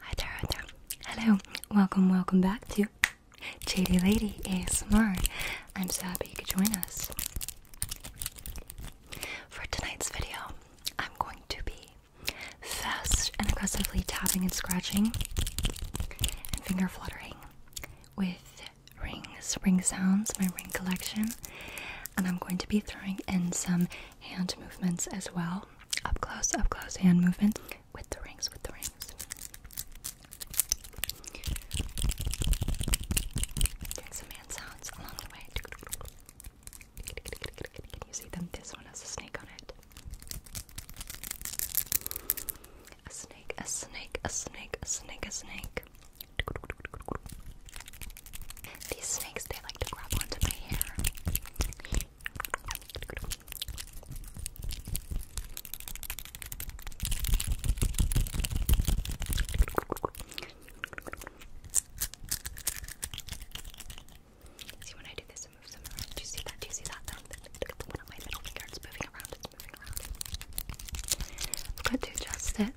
Hi there, Hello, welcome, welcome back to JD Lady ASMR. I'm so happy you could join us. For tonight's video, I'm going to be fast and aggressively tapping and scratching and finger fluttering with rings, ring sounds, my ring collection, and I'm going to be throwing in some hand movements as well. Up close, up close hand movements with the rings, with the rings. some hand sounds along the way. Can you see them? This one has a snake on it. A snake, a snake, a snake, a snake, a snake. These snakes, they like to grab onto my hair. See when I do this, it moves around. Do you see that? Do you see that? the one on my middle finger. It's moving around. I've got to chests there.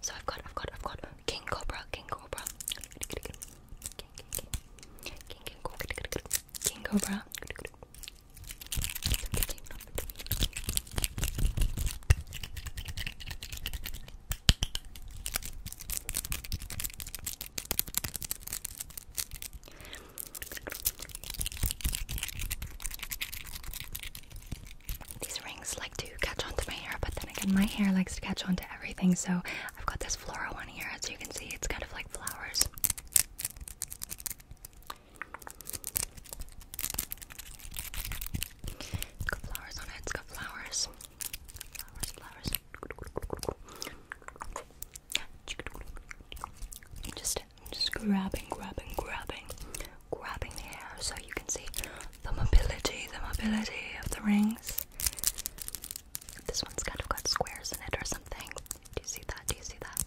So I've got, I've got, I've got King Cobra, King Cobra, King Cobra, King Cobra. These rings like to catch onto my hair, but then again, my hair likes to catch onto everything. So I've got this floral one here, as you can see, it's kind of like flowers. flowers on it, it's got flowers. Flowers, flowers. You just just grabbing, grabbing, grabbing, grabbing the hair so you can see the mobility, the mobility of the rings. This one's kind of got squares in it or something. Do you see that? Do you see that?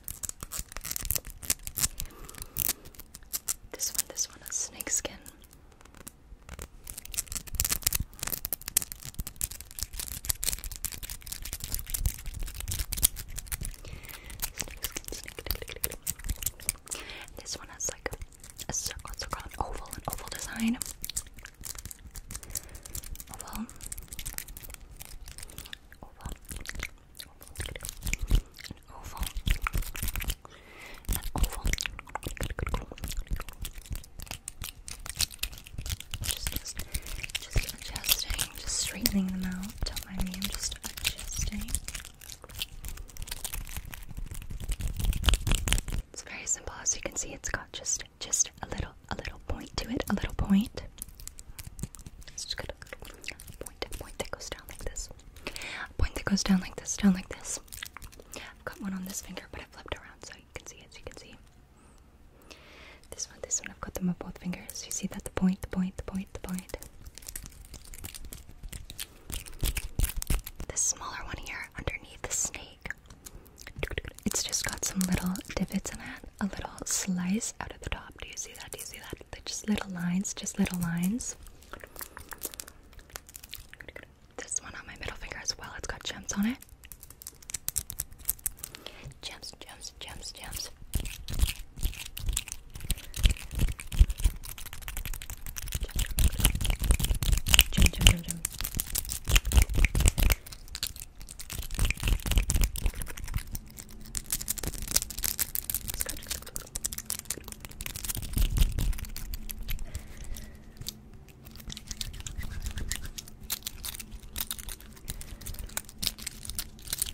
This one, this one is Snakeskin. This one has like a circle, circle, an oval, an oval design. Oval. Oval. An oval. An oval. Just, just, just adjusting, just straightening them out. Don't mind me, I'm just adjusting. It's very simple. As you can see, it's got just just a little a little point to it, a little point. It's just got a little point, that goes down like this. point that goes down like this, down like this. I've got one on this finger, but I have flipped around so you can see as you can see. This one, this one, I've got them on both fingers. You see that the point, the point, the point, the point. This smaller one here underneath the snake. It's just got some little divots in it, a little slice out of the top. Do you see that? Do you see that? They're just little lines, just little lines. This one on my middle finger as well, it's got gems on it. Gems, gems, gems, gems. The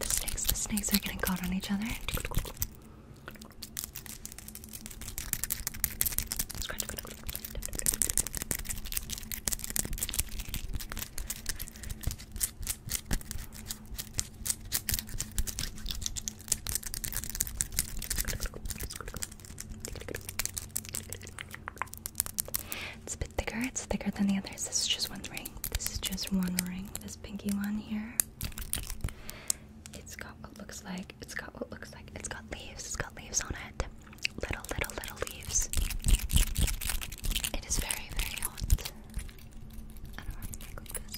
snakes, the snakes are getting caught on each other. It's a bit thicker, it's thicker than the others. This is just one ring. This is just one ring. This pinky one here. It's got what looks like. It's got what looks like. It's got leaves. It's got leaves on it. Little, little, little leaves. It is very, very hot. I don't know if I'm like this.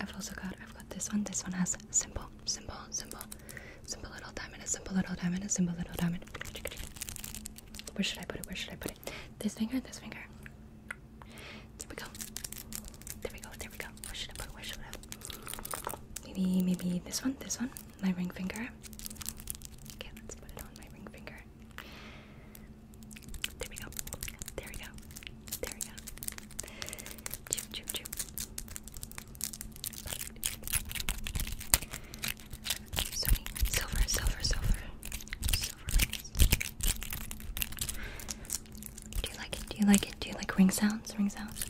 I've also got I've got this one. This one has simple, simple, simple, simple little diamond, a simple little diamond, a simple little diamond. Where should I put it? Where should I put it? This finger, this finger. There we go. There we go. There we go. Where should I put it? Where should I? Maybe maybe this one, this one my ring finger. Okay, let's put it on my ring finger. There we go. There we go. There we go. Choo, choo, choo. silver, silver, silver. Silver Do you like it? Do you like it? Do you like ring sounds? Ring sounds?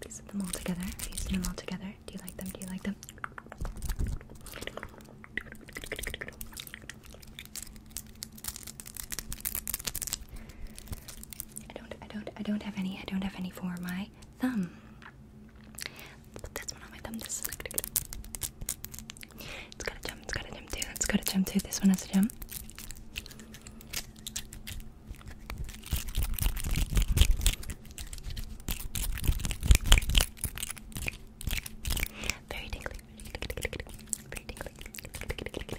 Piecing them all together, piecing them all together. Do you like them? Do you like them? I don't, I don't, I don't have any. I don't have any for my thumb. Let's one on my thumb. This it's got a gem. It's got a gem too. Let's go to gem too. This one has a gem. Very tingly. Very tingly.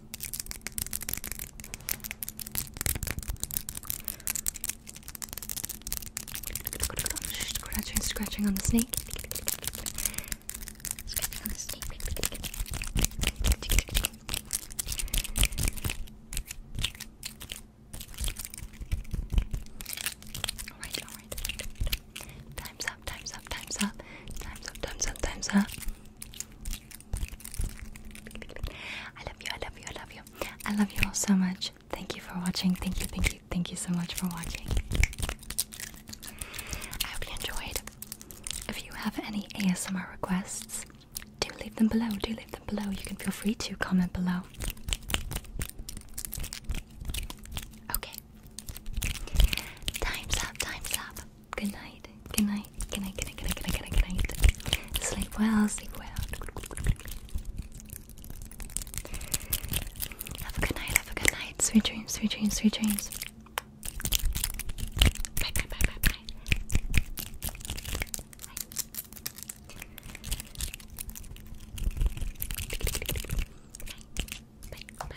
Scratching, scratching on the snake. Scratching on the snake. Time's up, time's up, time's up. Time's up, time's up, time's up. I love you, I love you, I love you. I love you all so much. Thank you for watching. Thank you, thank you, thank you so much for watching. I hope you enjoyed. If you have any ASMR requests, do leave them below. Do leave them below. You can feel free to comment below. Okay. Time's up, time's up. Good night. Good night. Good night. Good night. Good night. Good night. Good night. Good night. Sleep well. Sleep well. Have a good night. Have a good night. Sweet dreams. Sweet dreams. Sweet dreams. Bye. Bye. Bye. Bye. Bye. Bye. Bye. Bye. Bye.